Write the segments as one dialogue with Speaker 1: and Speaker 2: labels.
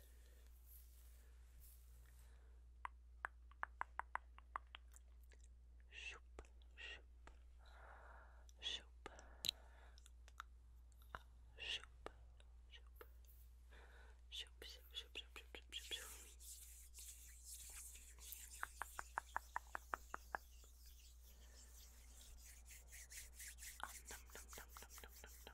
Speaker 1: Shoop, shoop, shoop, shoop, shoop, shoop, shoop, shoop, shoop, shoop, shoop, shoop. Um, num, num, num, num, num, num,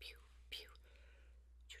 Speaker 1: pew, pew. Shoop,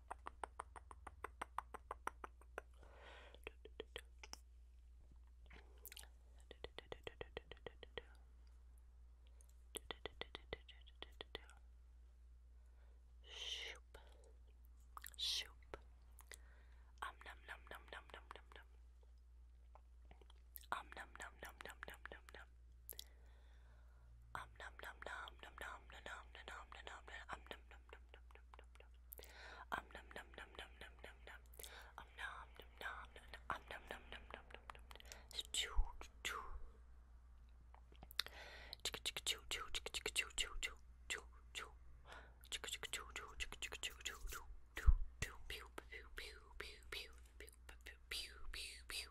Speaker 1: Shoop. Shoop. Um num num num num num num num. Um num num num num num num num. Um num num num num num num num num num num um num num num num num num num um num num num num num num num um num num num num um num num num num num num choo choo chicka chicka choo choo chicka chicka choo choo choo choo choo chicka chicka choo choo chicka chicka choo choo choo choo pew pew pew pew pew pew pew pew pew pew pew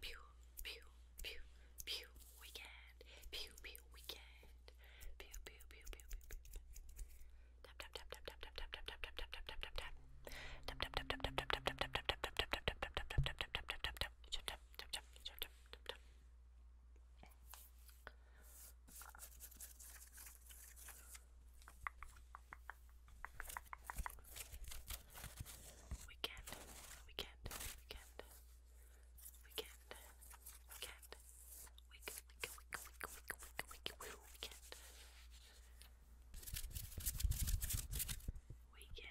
Speaker 1: Pew, pew, pew, pew, weekend. Pew, pew, weekend. Pew, pew, pew, pew, pew, pew. Tap, tap, tap, tap, tap, tap, tap, tap, tap, tap, tap, tap, tap, tap. Tap, tap, tap, tap, tap, tap, tap, tap, tap, tap, tap, tap, tap, tap, tap, tap, tap, tap, tap. Tap, tap, tap, tap, tap, tap, tap, tap. We can't, we can't, we can't, we can't, we can't, we can't, we can't, we can't, we can't, we can't. Weekend.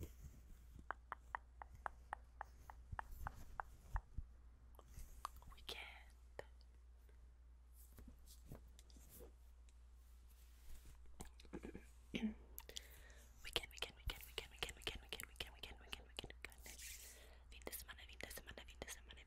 Speaker 1: we can we can, we can, we can, we can, we can, we can, we can, we can, we can, we can, we can, we can, we can. Fin de semana, fin de semana, fin de semana,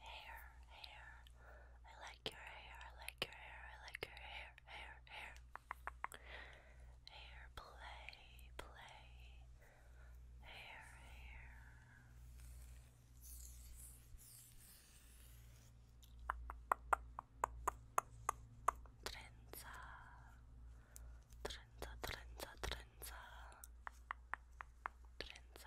Speaker 1: hair, hair. I like your hair, I like your hair, I like your hair, hair, hair. Hair, play, play. Hair, hair. Trenza, trenza, trenza, trenza, trenza.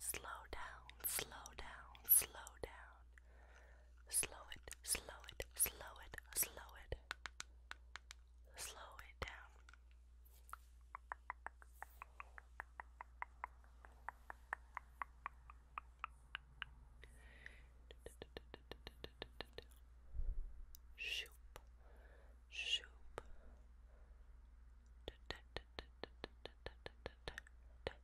Speaker 1: Slow down, slow down, slow down. Slow it, slow it, slow it, slow it. Slow it down. Shoop, shoop.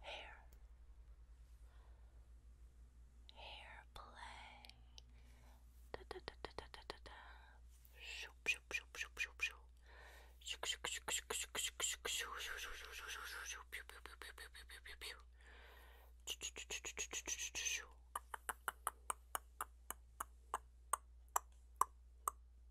Speaker 1: hair, hair, hair play. Da da da da da da da da. Shoop shoop shoop shoop shoop shoop. Shoop shoop shoop shoop shoop shoop shoop shoop shoop shoop shoop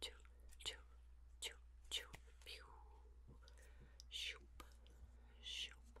Speaker 1: choo, choo, choo, choo, pew, shoop, shoop,